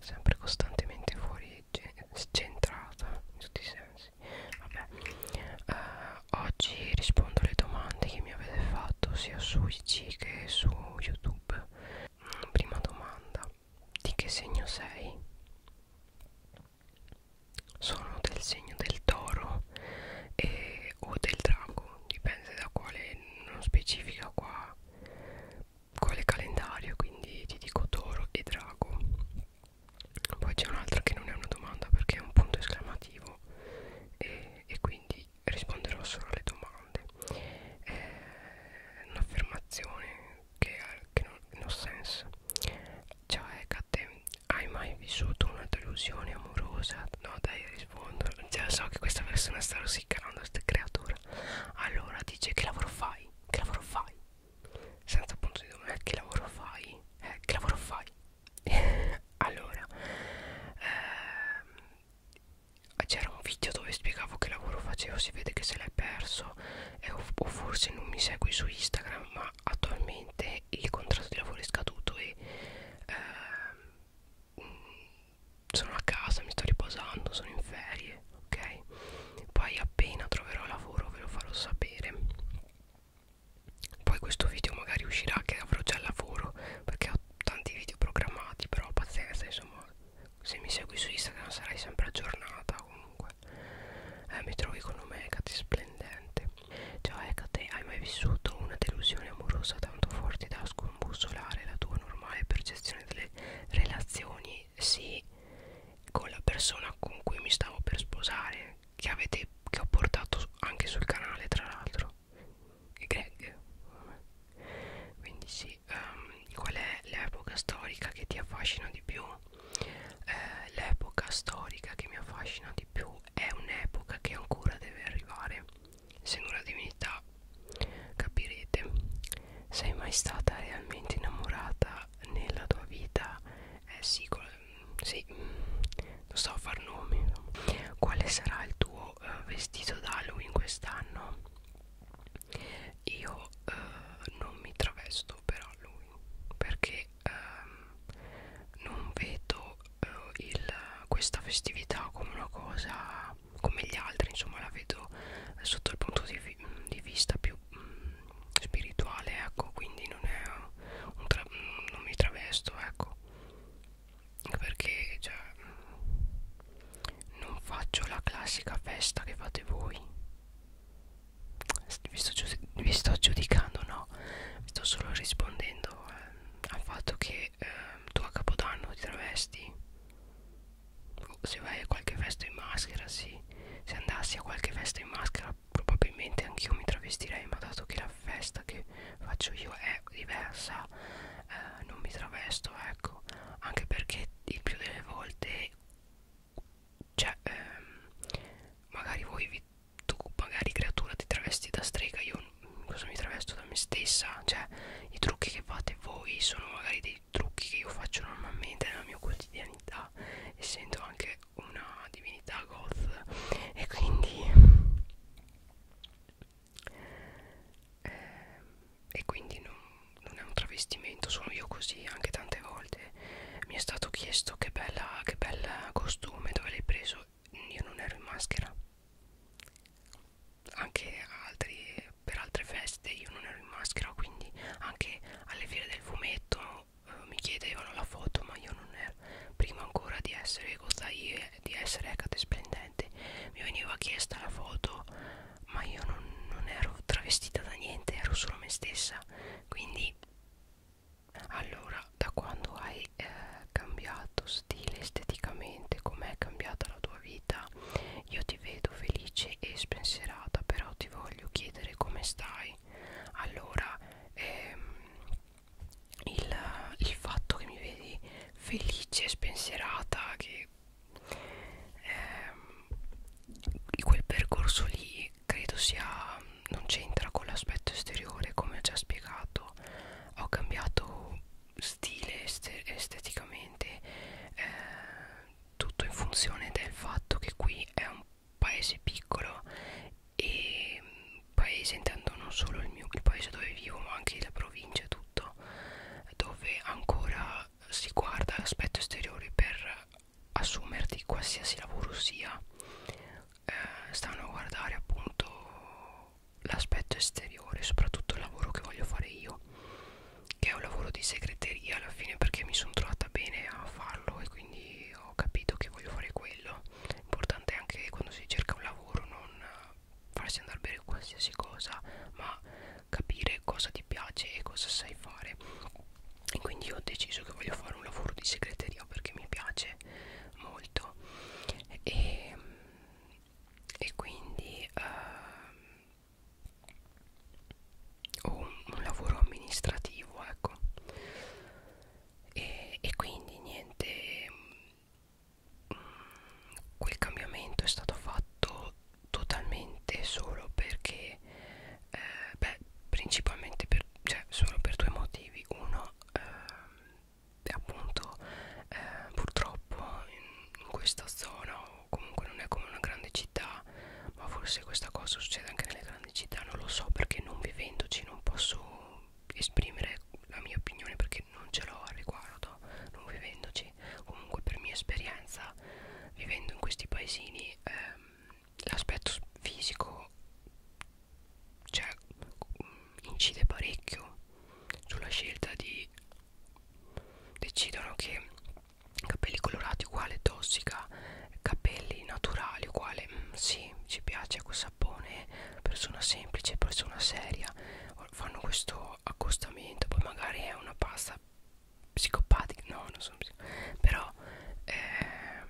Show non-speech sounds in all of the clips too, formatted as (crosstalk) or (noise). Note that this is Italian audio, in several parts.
sempre costantemente fuori centrata in tutti i sensi Vabbè. Uh, oggi rispondo alle domande che mi avete fatto sia su IG che su YouTube mm, prima domanda di che segno sei? sono del segno del toro e eh, o del drago dipende da quale non specifica qua quale calendario quindi ti dico toro e drago poi c'è un'altra che non è una domanda perché è un punto esclamativo e, e quindi risponderò solo alle domande è un'affermazione che ha no senso cioè Kate hai mai vissuto una delusione amorosa no dai rispondo Cioè so che questa persona sta rosicando Questo creatore Allora dice che lavoro fai? Che lavoro fai? Senza punto di domanda Che lavoro fai? Eh, che lavoro fai? (laughs) allora ehm, C'era un video dove spiegavo che lavoro facevo Si vede che se l'hai perso eh, o, o forse non mi segui su Instagram Ma attualmente il contratto di lavoro è scaduto E ehm, sono a casa, mi sto riposando, sono in ferie, ok? Poi appena troverò lavoro ve lo farò sapere. Poi questo video magari uscirà che avrò già lavoro, perché ho tanti video programmati, però pazienza, insomma, se mi segui su Instagram sarai sempre aggiornata comunque. Eh, mi trovi con Omega di splendente. Già, Ecate, ecco hai mai vissuto una delusione amorosa tanto forte da scombussolare la tua normale percezione delle relazioni? Sì, con la persona con cui mi stavo per sposare, che, avete, che ho portato anche sul canale, tra l'altro. Greg. Quindi sì, um, qual è l'epoca storica che ti affascina di più? Eh, l'epoca storica che mi affascina di più è un'epoca che ancora deve arrivare essendo una divinità capirete sei mai stata realmente innamorata nella tua vita eh sì, sì non mm, sto a far nomi quale sarà il tuo uh, vestito d'Halloween quest'anno io uh, non mi travesto per Halloween perché um, non vedo eh, il, questa festività come una cosa come gli altri, insomma la vedo eh, sotto il punto di, vi, di vista più mh, mm, spirituale, ecco, quindi non, è un tra, mm, non mi travesto, ecco, perché cioè, mm, non faccio la classica festa che fate voi. Vi sto, vi sto giudicando, no? Vi sto solo rispondendo eh, al fatto che eh, tu a capodanno ti travesti se vai a qualche festa in maschera sì se andassi a qualche festa in maschera probabilmente anch'io mi travestirei ma dato che la festa che faccio io è diversa eh, non mi travesto ecco anche perché il più delle volte cioè ehm, magari voi vi tu magari creatura ti travesti da strega io cosa mi travesto da me stessa cioè i trucchi che fate voi sono magari dei trucchi che io faccio normalmente nella mia quotidianità essendo anche una divinità goth e quindi eh, e quindi non, non è un travestimento sono io così anche tante volte mi è stato chiesto che bella che bel costume dove l'hai preso io non ero in maschera anche altri, per altre feste io non ero in maschera quindi anche alle fiere del fumetto eh, mi chiedevano la foto ma io non ero prima ancora di essere gozaie di essere Ecate Splendente mi veniva chiesta la foto ma io non, non ero travestita da niente ero solo me stessa quindi allora da quando hai eh, cambiato stile esteticamente com'è cambiata la tua vita io ti vedo felice e spensierata però ti voglio chiedere come stai allora ehm, il, il fatto che mi vedi felice e spensierata che ehm, quel percorso lì credo sia non c'entra con l'aspetto esteriore come ho già spiegato ho cambiato stile est esteticamente eh, tutto in funzione del fatto che qui è un paese piccolo e mm, paese intendo non solo il mio il paese dove vivo ma anche la provincia e tutto dove ancora si guarda l'aspetto esteriore per assumerti qualsiasi lavoro sia eh, stanno a guardare appunto l'aspetto esteriore soprattutto il lavoro che voglio fare io che è un lavoro di segreteria alla fine perché mi sono trovata bene a farlo e quindi ho capito che voglio fare quello importante è anche quando si cerca un lavoro non farsi andare bene qualsiasi cosa ma capire cosa ti piace e cosa sai fare e quindi ho deciso che voglio fare un lavoro di segreteria perché mi piace molto e, e quindi uh, ho un, un lavoro amministrativo ecco e, e quindi niente mh, mm, quel cambiamento è stato fatto totalmente solo perché eh, beh principalmente per, cioè solo per due motivi uno ehm, appunto eh, purtroppo in, in questa zona o comunque non è come una grande città ma forse questa cosa succede anche nelle grandi città non lo so perché non vivendoci non posso esprimere la mia opinione perché non ce l'ho al riguardo non vivendoci comunque per mia esperienza vivendo in questi paesini ehm, l'aspetto fisico cioè incide parecchio sulla scelta di decidono che capelli colorati uguale tossica capelli naturali uguale mh, mm, sì ci piace quel sapone persona semplice persona seria fanno questo accostamento poi magari è una pasta psicopatica no non sono psicopatica però eh,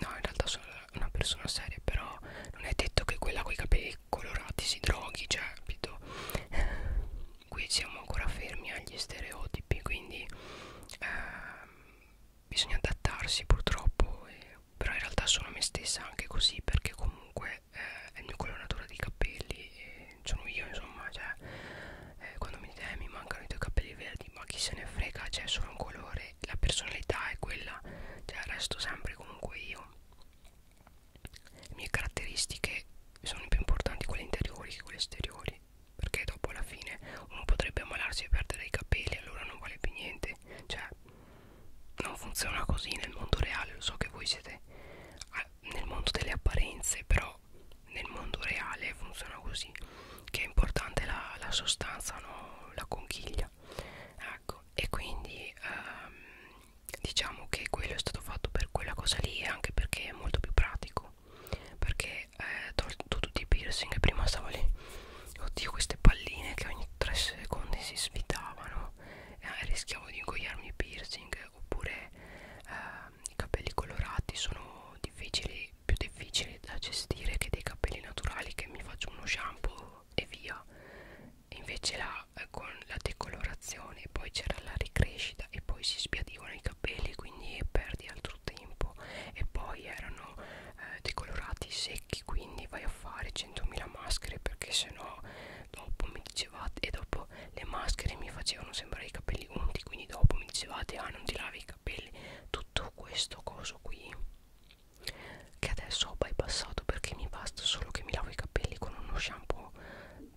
no in realtà sono una persona seria però non è detto che quella con i capelli colorati si droghi cioè capito eh, qui siamo ancora fermi agli stereotipi quindi eh, bisogna adattarsi purtroppo e, però in realtà sono me stessa anche così perché comunque eh, è il mio coloratore di capelli e sono io insomma cioè eh, quando mi dite eh, mi mancano i tuoi capelli verdi ma chi se ne frega cioè sono un colore e la personalità è quella cioè resto sempre comunque io le mie caratteristiche sono più importanti quelle interiori che quelle esteriori perché dopo alla fine uno potrebbe ammalarsi e perdere i capelli allora non vale più niente cioè non funziona così nel mondo reale lo so che voi siete nel mondo delle apparenze però nel mondo reale funziona così che è importante la, la sostanza no? la conchiglia vita ecco e quindi ehm, diciamo che quello è stato fatto per quella cosa lì anche perché è molto più pratico perché eh, tolto tutti i piercing prima stavo lì oddio queste palline che ogni 3 secondi si svitavano eh, rischiavo di ingoiarmi i piercing oppure eh, i capelli colorati sono difficili più difficili da gestire che dei capelli naturali che mi faccio uno shampoo nero e via invece là eh, con la decolorazione poi c'era la ricrescita e poi si sbiadivano i capelli quindi perdi altro tempo e poi erano eh, decolorati secchi quindi vai a fare 100.000 maschere perché sennò dopo mi dicevate e dopo le maschere mi facevano sembrare i capelli unti quindi dopo mi dicevate ah non ti lavi i capelli tutto questo coso qui che adesso ho bypassato perché mi basta solo che mi lavo i capelli con uno shampoo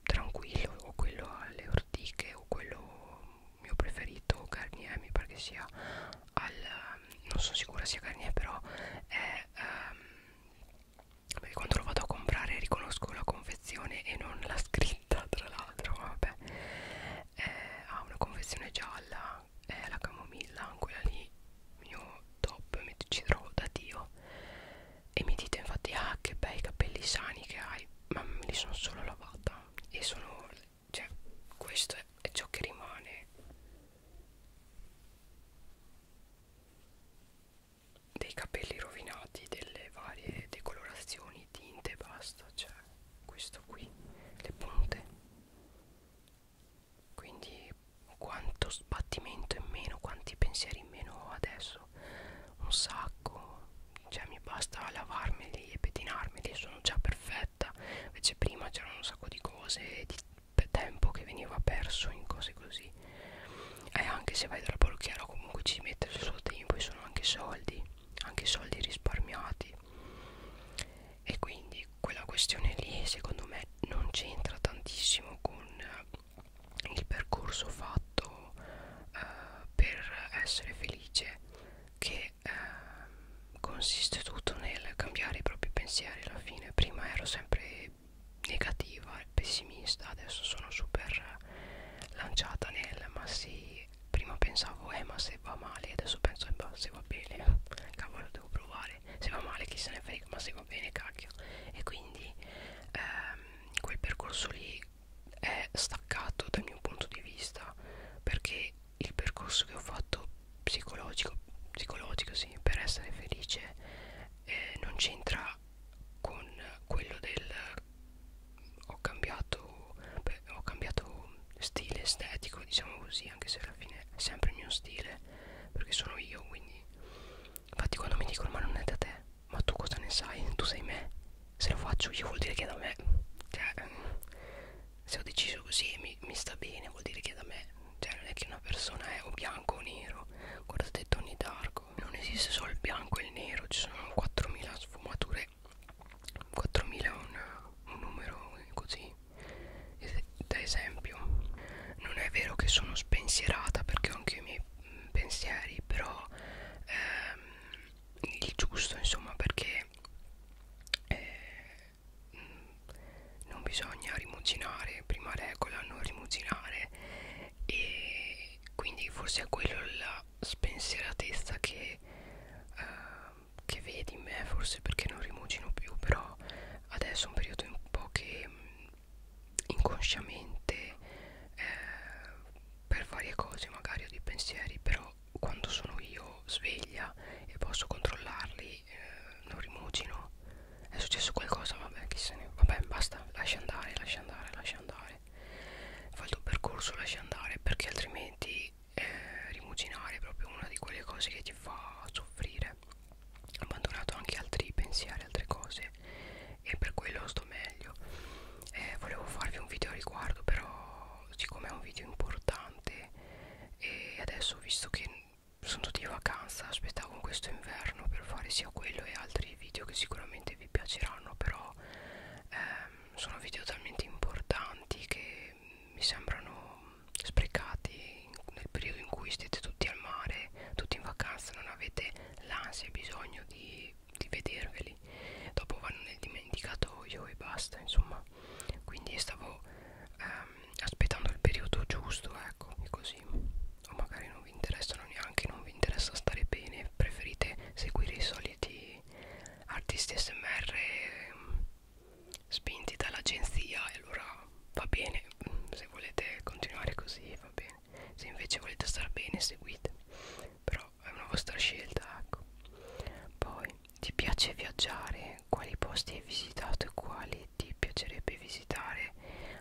tranquillo o quello alle ortiche o quello mio preferito Garnier mi pare che sia al non sono sicura sia Garnier però è um, perché quando lo vado a comprare riconosco la confezione e non la scritta tra l'altro vabbè eh, ha una confezione gialla camomilla eh, la camomilla quella lì mio top mi ci trovo da dio e mi dite infatti ah che bei capelli sani che hai ma me li sono solo lavata e sono cioè questo è, è ciò che rimane dei capelli rovinati delle varie decolorazioni tinte basta cioè questo qui le punte quindi quanto sbattimento in meno quanti pensieri in meno ho adesso un sacco cioè mi basta lavarmeli e pettinarmeli sono già perfetta invece prima c'erano un sacco di cose di tempo che veniva perso in cose così e eh, anche se vai dal parrucchiere comunque ci mette il suo tempo e sono anche soldi anche soldi risparmiati e quindi quella questione lì secondo me non c'entra tantissimo con eh, il percorso fatto eh, per essere felice che eh, consiste tutto nel cambiare i propri pensieri alla fine prima ero sempre negativa e pessimista adesso sono super lanciata nel ma sì prima pensavo eh ma se va male adesso penso eh, ma se va bene (laughs) cavolo devo provare male se va male chi se ne frega ma se va bene cacchio e quindi ehm, quel percorso lì è staccato dal mio punto di vista perché il percorso che ho fatto psicologico psicologico sì per essere felice eh, non c'entra con quello del ho cambiato beh, ho cambiato stile estetico diciamo così anche se alla fine è sempre il mio stile perché sono io quindi infatti quando mi dicono ma non è da te ma tu cosa ne sai tu sei me se lo faccio io vuol dire che è da me cioè ehm, se ho deciso così e mi, mi sta bene vuol dire che è da me cioè non è che una persona è o bianco o nero guardate Tony Darko non esiste solo il bianco e il nero ci sono 4000 sfumature 4000 è un, un numero così da esempio non è vero che sono spensierata perché ho anche i miei mm, pensieri però ehm, il giusto insomma perché eh, mm, non bisogna rimuginare prima regola non rimuginare e quindi forse è quello la spensieratezza che eh, che vedi in me forse perché non rimugino più però adesso è un periodo un po' che mm, inconsciamente eh, per varie cose magari ho dei pensieri però quando sono io sveglia e posso controllarli eh, non rimugino è successo qualcosa vabbè chi se ne vabbè basta lascia andare lascia andare lascia andare fa il tuo percorso lascia andare perché altrimenti eh, rimuginare, proprio una di quelle cose che ti fa soffrire. Ho abbandonato anche altri pensieri, altre cose e per quello sto meglio. Eh, volevo farvi un video a riguardo, però siccome è un video importante e adesso visto che sono tutti in vacanza, aspettavo questo inverno per fare sia quello e altri video che sicuramente vi piaceranno, però ehm, sono video talmente importanti che che mi sembrano sprecati nel periodo in cui siete tutti al mare, tutti in vacanza, non avete l'ansia e bisogno di, di vederveli, dopo vanno nel dimenticatoio e basta, insomma, quindi stavo ehm, aspettando il periodo giusto, ecco, così, o magari non vi interessano neanche, non vi interessa stare bene, preferite seguire i soliti artisti smr ehm, spinti dall'agenzia e allora va bene se volete continuare così va bene se invece volete star bene seguite però è una vostra scelta ecco poi ti piace viaggiare quali posti hai visitato e quali ti piacerebbe visitare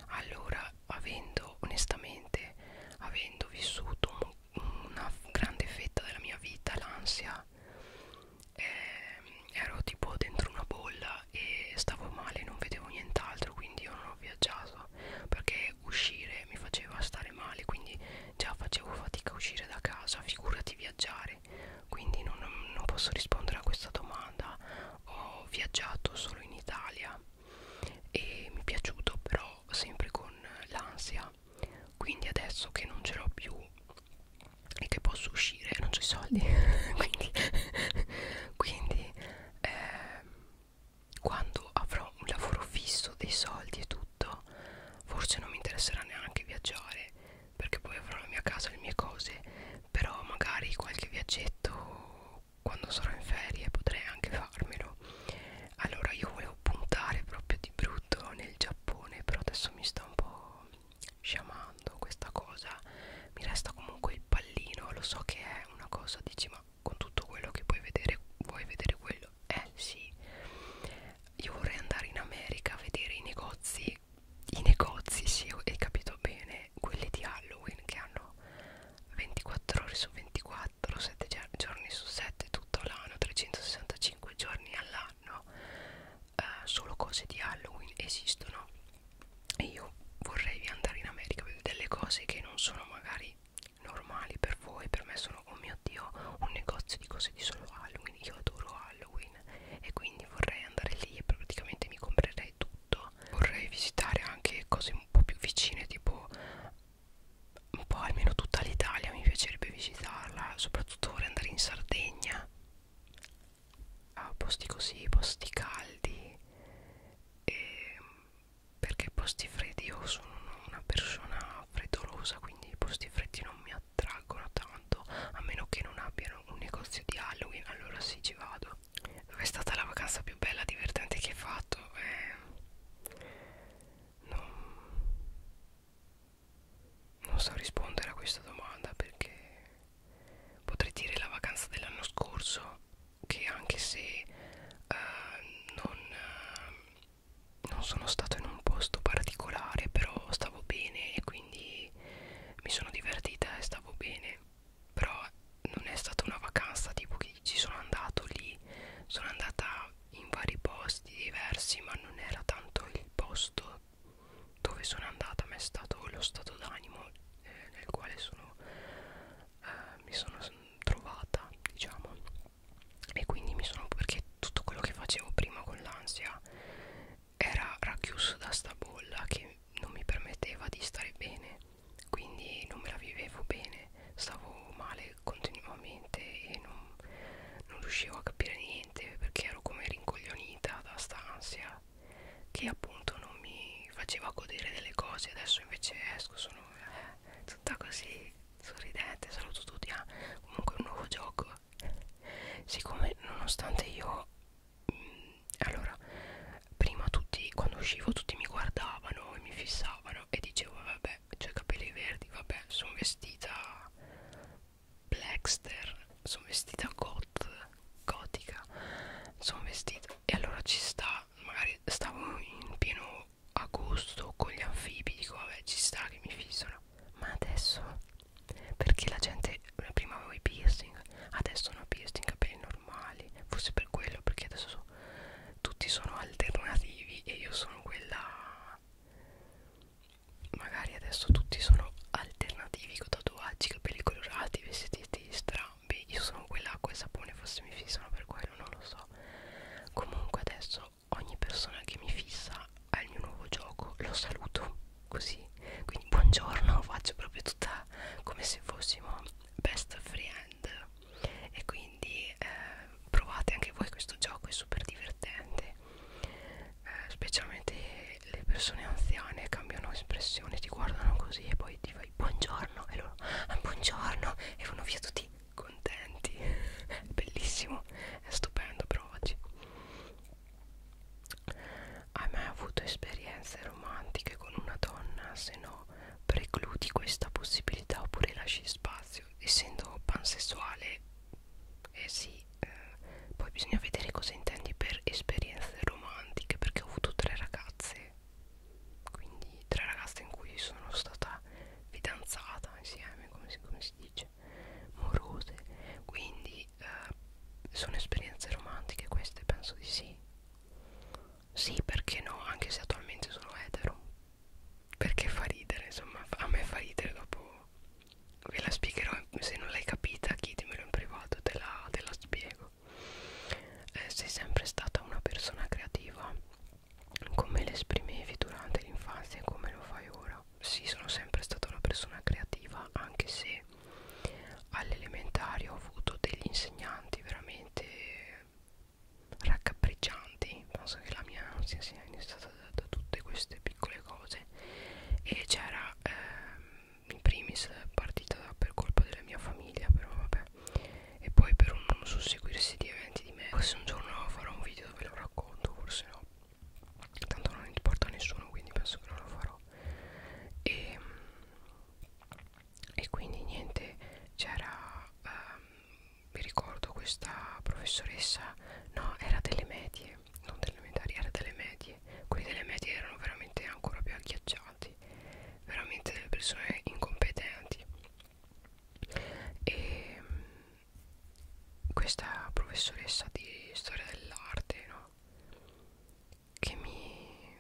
allora avendo onestamente avendo vissuto una grande fetta della mia vita l'ansia eh, ero tipo dentro una bolla e stavo male, non vedevo nient'altro, quindi io non ho viaggiato perché uscire mi faceva stare male, quindi già facevo fatica a uscire da casa, figurati viaggiare, quindi non, non posso rispondere a questa domanda. Ho viaggiato solo in Italia e mi è piaciuto, però sempre con l'ansia, quindi adesso che non ce l'ho più e che posso uscire e non c'ho i soldi (laughs) quindi, quindi eh, quando avrò un lavoro fisso dei soldi e tutto forse non mi interesserà neanche viaggiare perché poi avrò la mia casa le mie cose però magari qualche viaggetto quando sarò in ferie potrei anche farmelo allora io volevo puntare proprio di brutto nel Giappone però adesso mi sta un po' sciamando questa cosa mi resta comunque il pallino lo so che è una cosa dici ma con tutto quello che puoi vedere vuoi vedere quello eh sì io vorrei andare in America a vedere i negozi i negozi sì hai capito bene quelli di Halloween che hanno 24 ore su 24 7 giorni su 7 tutto l'anno 365 giorni all'anno fanno eh, solo cose di Halloween esistono e io vorrei andare in America per delle cose che non sono magari normali per voi per me sono oh mio dio un negozio di cose di solo Halloween io adoro Halloween e quindi vorrei andare lì e praticamente mi comprerei tutto vorrei visitare anche cose un po' più vicine tipo un po' almeno tutta l'Italia mi piacerebbe visitarla soprattutto vorrei andare in Sardegna a posti così, posti caldi e ehm, perché posti freddi io sono una persona freddolosa quindi i posti freddi non mi attraggono tanto a meno che non abbiano un negozio di Halloween allora sì ci vado dove è stata la vacanza più bella divertente che hai fatto eh, non, non so rispondere a questa domanda perché potrei dire la vacanza dell'anno scorso che anche se eh, non, eh, non sono stato in un posto particolare però stavo bene e quindi mi sono divertita e stavo bene però non è stata una vacanza tipo che ci sono andato lì sono andata in vari posti diversi ma non era tanto il posto dove sono andata ma è stato lo stato d'animo eh, nel quale sono, eh, mi sono trovata diciamo e quindi mi sono perché tutto quello che facevo prima con l'ansia era racchiuso da sta bolla che non mi permetteva di stare bene quindi non me la vivevo bene stavo male continuamente e non, non riuscivo a capire niente niente perché ero come rincoglionita da st'ansia che appunto non mi faceva godere delle cose adesso invece esco sono eh, tutta così sorridente saluto tutti ah, comunque un nuovo gioco siccome nonostante io mh, mm, allora prima tutti quando uscivo tutti mi guardavano e mi fissavano e dicevo vabbè ho cioè, i capelli verdi vabbè sono vestita blackster sono vestita goth gotica sono vestita e allora ci sta magari stavo in pieno agosto con gli anfibi dico vabbè ci sta che mi fissano ma adesso perché la gente prima avevo i piercing adesso non ho piercing capelli normali forse per quello perché adesso so, tutti sono alternativi e io sono quella magari adesso tutti sono alternativi con tatuaggi, capelli colorati, vestiti strambi io sono quella acqua e sapone forse mi fissano per quello, non lo so comunque adesso ogni persona che mi fissa al mio nuovo gioco lo saluto così quindi buongiorno (laughs) faccio proprio tutta come se fossimo best friend e quindi eh, provate anche voi questo gioco è super divertente eh, specialmente le persone anziane cambiano espressione, ti guardano così e poi ti fai buongiorno e loro ah, buongiorno e vanno via tutti contenti, è (laughs) bellissimo, è stupendo per oggi. Hai mai avuto esperienze romantiche con una donna? Se no, precludi questa possibilità oppure lasci spazio, essendo pansessuale eh sì eh, poi bisogna vedere cosa intendi per esperienze romantiche perché ho avuto tre ragazze quindi tre ragazze in cui sono stata fidanzata insieme come si, come si dice morose quindi eh, sono esperienze romantiche queste penso di sì sì perché no anche se attualmente sono etero perché fa ridere insomma a me fa ridere dopo ve la spiegherò se non l'hai capita chietemelo in privato te la, te la spiego eh, sei sempre stata una persona creativa come l'esprimevi durante l'infanzia e come lo fai ora sì sono sempre stata una persona creativa anche se all'elementare ho avuto degli insegnanti veramente raccapriccianti penso che la mia ansia sia iniziata da, da tutte queste piccole cose e c'era ehm, in primis partita per colpa della mia famiglia però vabbè e poi per un non susseguirsi di eventi di me forse un giorno farò un video dove lo racconto forse no tanto non importa a nessuno quindi penso che non lo farò e, ehm, e quindi niente c'era ehm, mi ricordo questa professoressa no era delle medie non delle elementari era delle medie quelli delle medie erano veramente ancora più agghiacciati veramente delle persone incompetenti e mm, questa professoressa di storia dell'arte no? che mi,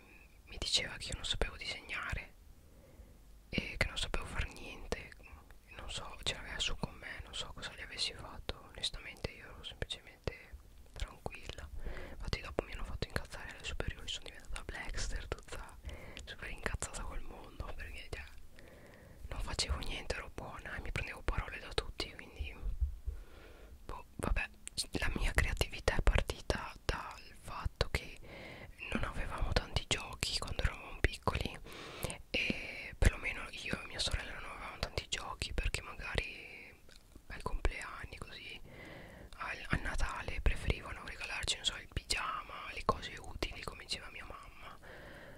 mi diceva che io non sapevo disegnare e che non sapevo fare niente non so ce l'aveva su con me non so cosa gli avessi fatto onestamente io ero semplicemente tranquilla infatti dopo mi hanno fatto incazzare alle superiori sono diventata blackster tutta super incazzata col mondo perché cioè, non facevo niente ero buona e mi prendevo parole da tutti quindi boh, vabbè la mia creatività è partita dal fatto che non avevamo tanti giochi quando eravamo piccoli e perlomeno io e mia sorella non avevamo tanti giochi perché magari ai compleanni così al, a Natale preferivano regalarci non so il pigiama le cose utili come diceva mia mamma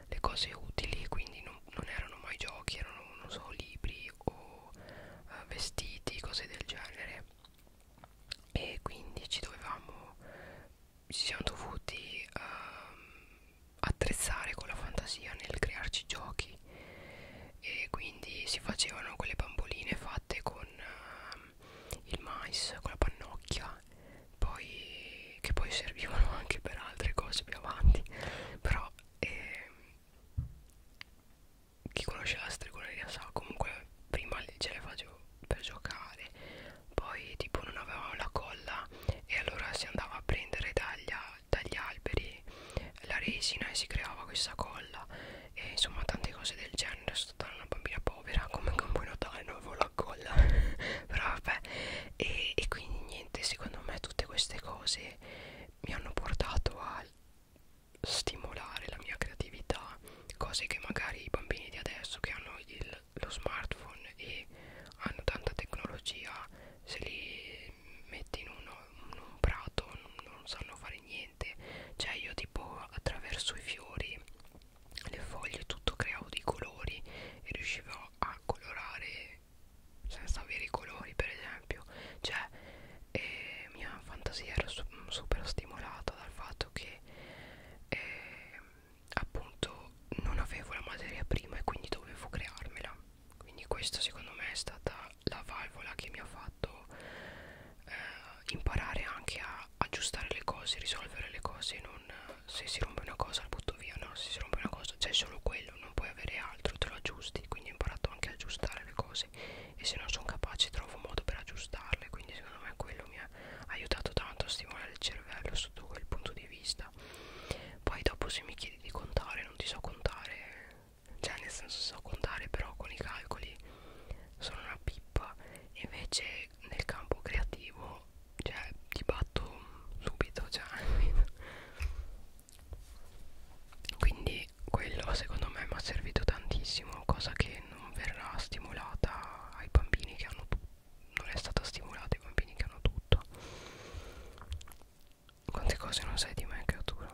le cose utili quindi non, non erano mai giochi erano non so libri o uh, vestiti cose del genere e quindi ci dovevamo ci siamo dovuti um, attrezzare con la fantasia nel crearci giochi e quindi si facevano quelle bamboline fatte con uh, il mais, con la pannocchia poi, che poi servivano (laughs) anche per altre cose più avanti però eh, chi conosce la stregoneria sa comunque prima ce le facevo per giocare poi tipo non avevamo la colla e allora si andava a prendere dagli dagli alberi la resina e si creava questa colla e insomma tante cose del genere sono stata una bambina povera come anche un po' notare non avevo la colla (laughs) però vabbè e, e quindi niente secondo me tutte queste cose mi hanno portato a stimolare la mia creatività cose che magari i bambini di adesso che hanno il, lo smartphone e hanno tanta tecnologia se li metti in, uno, in un prato non, non sanno fare niente cioè io tipo attraverso i fiori le foglie tutto creavo dei colori e riuscivo a colorare senza avere i colori per esempio cioè eh, mia fantasia era su super stimolata dal fatto che eh, appunto non avevo la materia prima e quindi dovevo crearmela quindi questa secondo me è stata la valvola che mi ha fatto eh, imparare anche a aggiustare le cose risolvere le cose non, se si rompe una cosa la butto via no se si rompe una cosa c'è solo quello non puoi avere altro te lo aggiusti quindi ho imparato anche a aggiustare le cose e se non sono capace trovo modo per aggiustarle quindi secondo me quello mi ha aiutato tanto a stimolare il cervello sotto quel punto di vista poi dopo se mi chiedi chiedi di contare non ti so contare cioè nel senso so contare però con i calcoli sono una pippa invece nel campo creativo cioè ti batto subito cioè (laughs) quindi quello secondo me mi ha servito tantissimo cosa che non verrà stimolata ai bambini che hanno non è stata stimolata i bambini che hanno tutto quante cose non sai di me creatura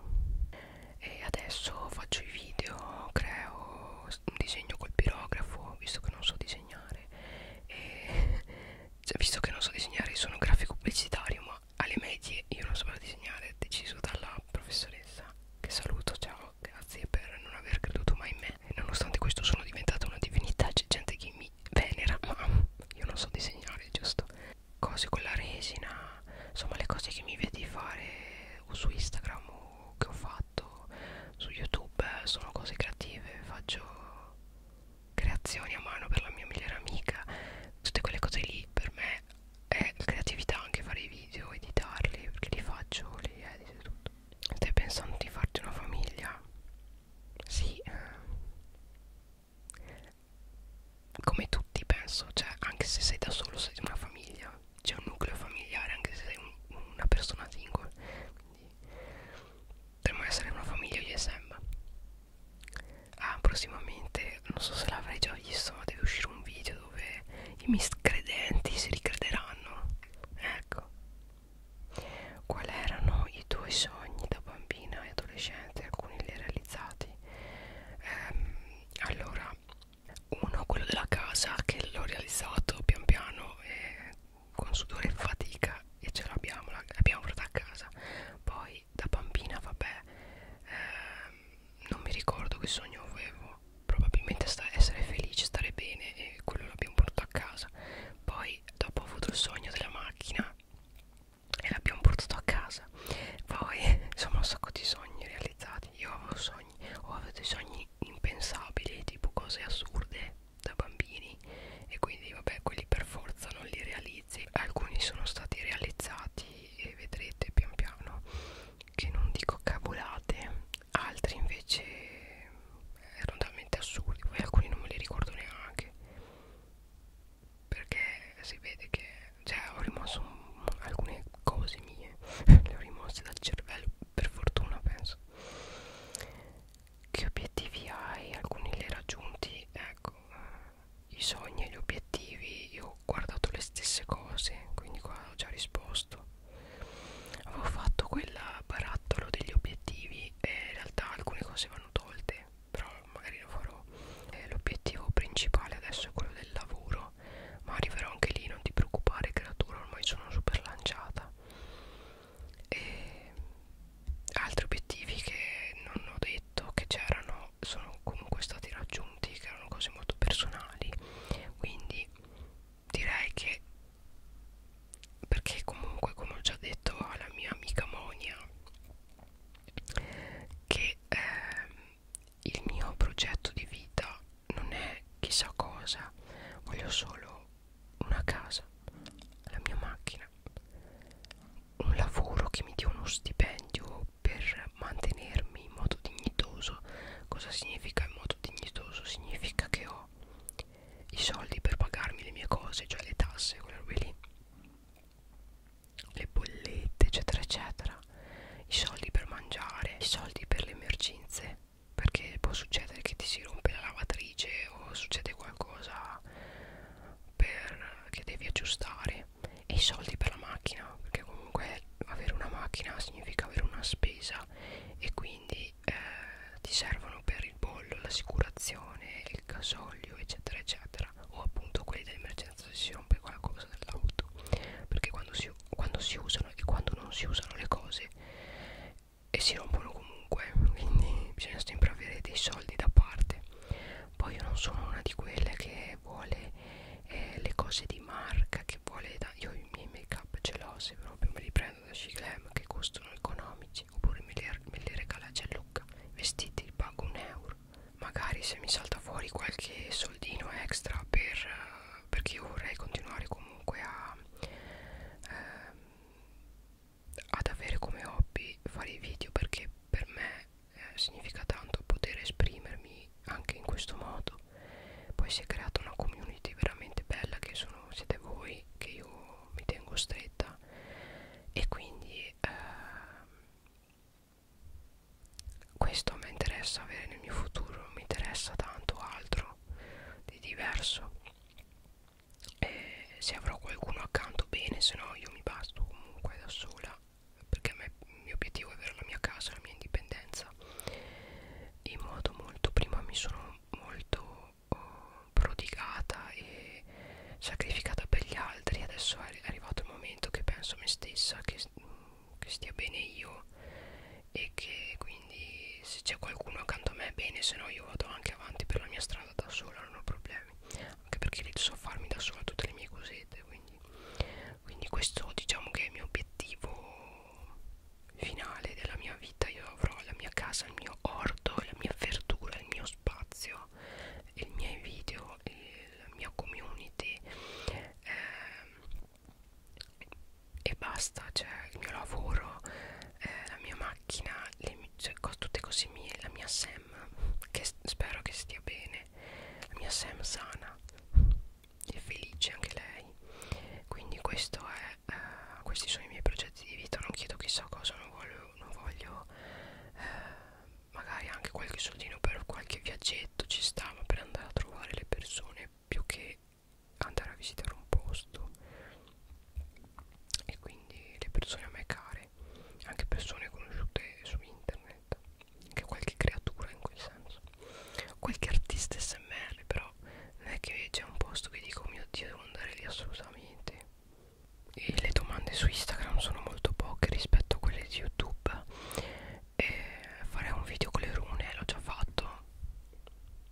e adesso faccio i video creo un disegno col pirografo visto che non so disegnare e (laughs) cioè, visto che non so disegnare sono grafico pubblicitario ma alle medie io non sapevo disegnare deciso dalla professoressa che saluto ciao grazie per non aver creduto mai in me e nonostante questo sono diventata una divinità c'è gente che mi mi venera ma io non so disegnare giusto cose con la resina insomma le cose che mi vedi fare o su Instagram o che ho fatto su YouTube eh, sono cose creative faccio creazioni a mano per la mia migliore amica tutte quelle cose lì per me è creatività anche fare i video editarli perché li faccio li edito tutto stai pensando di farti una famiglia sì ehm, Come tutti penso Cioè anche se sei da solo sei di una famiglia C'è un nucleo familiare Anche se sei un, una persona single Quindi Potremmo essere una famiglia ISM Ah prossimamente Non so se l'avrei già visto Ma deve uscire un video dove I miscredenti si ricrederanno Ecco Qual erano i tuoi sogni da bambina e adolescente? Alcuni li hai realizzati? Ehm, allora, uno quello della casa che l'ho realizzato pian piano eh, con sudore e fatica e ce l'abbiamo, l'abbiamo portata a casa. Poi da bambina, vabbè, ehm, non mi ricordo che sogno avevo. Probabilmente essere felice, stare bene e quello l'abbiamo portato a casa. Poi dopo ho avuto il sogno della macchina e l'abbiamo portato a casa poi insomma un sacco di sogni realizzati io avevo sogni ho avuto i sogni impensabili tipo cose assurde da bambini e quindi vabbè quelli per forza non li realizzi alcuni sono stati realizzati e vedrete pian piano che non dico cavolate altri invece erano talmente assurdi poi alcuni non me li ricordo neanche perché si vede che cioè ho rimosso un, alcune cose mie (laughs) le ho rimosse dal cervello per fortuna penso che obiettivi hai alcuni li hai raggiunti ecco eh, i sogni e gli obiettivi io ho guardato le stesse cose quindi qua ho già risposto avevo fatto quella barattolo degli obiettivi quindi eh, in realtà alcune cose vanno tolte però magari lo farò eh, l'obiettivo principale adesso è quello del lavoro ma arriverò anche lì non ti preoccupare creatura ormai sono super lanciata e altri obiettivi che non ho detto che c'erano sono comunque stati raggiunti che erano cose molto personali quindi direi che perché comunque come ho già detto alla mia amica Monia che eh, il mio progetto di vita non è chissà cosa voglio solo una casa la mia macchina un lavoro che mi dia uno stipendio per mantenermi in modo dignitoso cosa significa in modo dignitoso significa che ho i soldi per pagarmi le mie cose, cioè le tasse, quelle robe lì, le bollette, eccetera, eccetera, i soldi per mangiare, i soldi per le emergenze, perché può succedere che ti si rompe la lavatrice o succede qualcosa per, che devi aggiustare, e i soldi per la macchina, perché comunque avere una macchina significa avere una spesa e quindi eh, ti servono per il bollo, l'assicurazione, del gasolio eccetera eccetera o appunto quelli dell'emergenza se si rompe qualcosa dell'auto perché quando si, quando si usano e quando non si usano le cose e si rompono comunque quindi bisogna sempre avere dei soldi da parte poi io non sono una di quelle che vuole eh, le cose di marca che vuole da io i miei make up ce l'ho se proprio me li prendo comprando da Shiglam che costano economici oppure me le, me le regala Gianluca vestiti li pago un euro magari se mi salta fuori qualche soldino extra per, uh, perché io vorrei continuare comunque a uh, ad avere come hobby fare i video perché per me eh, significa tanto poter esprimermi anche in questo modo poi si è creata una community veramente bella che sono, siete voi che io tengo, mi tengo stretta e quindi eh, questo mi interessa avere nel mio futuro, non mi interessa tanto altro di diverso e se avrò qualcuno accanto bene, se no io mi basto comunque da sola perché me, il mio obiettivo è avere la mia casa, la mia indipendenza in modo molto prima mi sono molto oh, prodigata e sacrificata per gli altri adesso è arrivato il momento che penso a me stessa che, che stia bene io e che quindi se c'è qualcuno accanto a me bene se no io vado anche avanti per la mia strada da sola non ho problemi anche perché lì so farmi da sola tutte le mie cosette quindi, quindi questo diciamo che è il mio obiettivo finale della mia vita io avrò la mia casa, il mio orto, la mia verdura, il mio spazio, i miei video, il, la mia community eh, e basta, cioè il mio lavoro, eh, la mia macchina, le, cioè, tutte cose mie, la mia Sam che spero che stia bene, la mia Sam sana e felice anche lei quindi questo è eh, questi sono i miei progetti di vita non chiedo chissà cosa non voglio, non voglio eh, magari anche qualche soldino per qualche viaggetto ci sta ma per andare a trovare le persone più che andare a visitare un posto e quindi le persone a me care anche persone conosciute su internet anche qualche creatura in quel senso qualche artista smr però non è che c'è un posto che dico oh mio dio devo andare lì assolutamente e le domande su Instagram sono molto poche rispetto a quelle di YouTube e farei un video con le rune, l'ho già fatto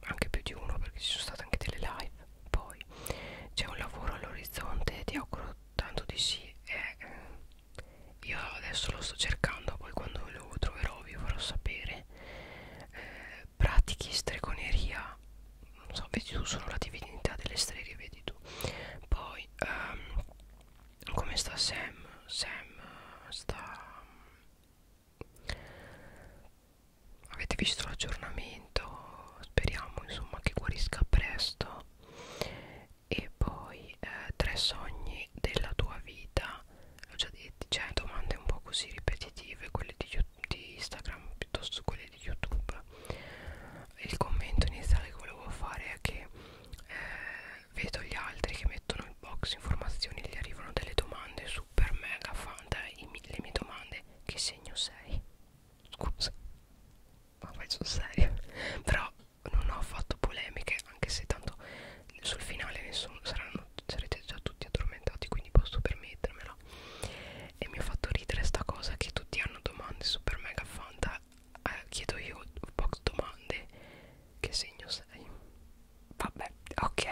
anche più di uno perché ci sono state anche delle live poi c'è un lavoro all'orizzonte ti auguro tanto di sì e eh, io adesso lo sto cercando poi quando lo troverò vi farò sapere eh, eh, pratichi stregoneria non so vedi tu sono la divinità delle streghe vedi tu poi ehm, come sta Sam Sam eh, sta mm, avete visto l'aggiornamento speriamo insomma che guarisca presto e poi eh, tre sogni della tua vita l'ho già detto cioè domande un po' così ripetitive quelle di, di Instagram piuttosto quelle canale di youtube il commento iniziale che volevo fare è che eh, vedo gli altri che mettono in box informazioni gli arrivano delle domande super mega fanta i, le mie domande che segno sei scusa ma vai sul serio (laughs) però non ho fatto polemiche anche se tanto sul finale nessuno saranno sarete già tutti addormentati quindi posso permettermela bla e mi ha fatto ridere sta cosa che tutti hanno domande super mega fanta eh, chiedo io box domande che segno sei vabbè ok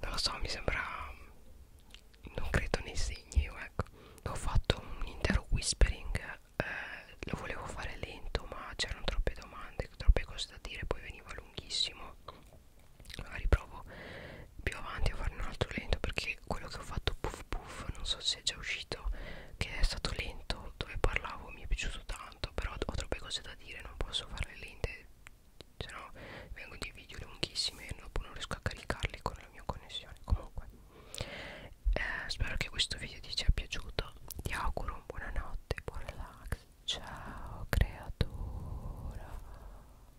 non lo so mi sembra non credo nei segni io ecco ho fatto un intero whispering eh, lo volevo fare lento ma c'erano troppe domande troppe cose da dire poi veniva lunghissimo magari provo più avanti a fare un altro lento perché quello che ho fatto puff puff non so se è già uscito che è stato lento dove parlavo mi è piaciuto tanto però ho troppe cose da dire non posso fare le lente se no vengo di video lunghissimi e dopo non riesco a caricarli con la mia connessione comunque eh, spero che questo video ti sia piaciuto ti auguro un buonanotte buon relax ciao creatura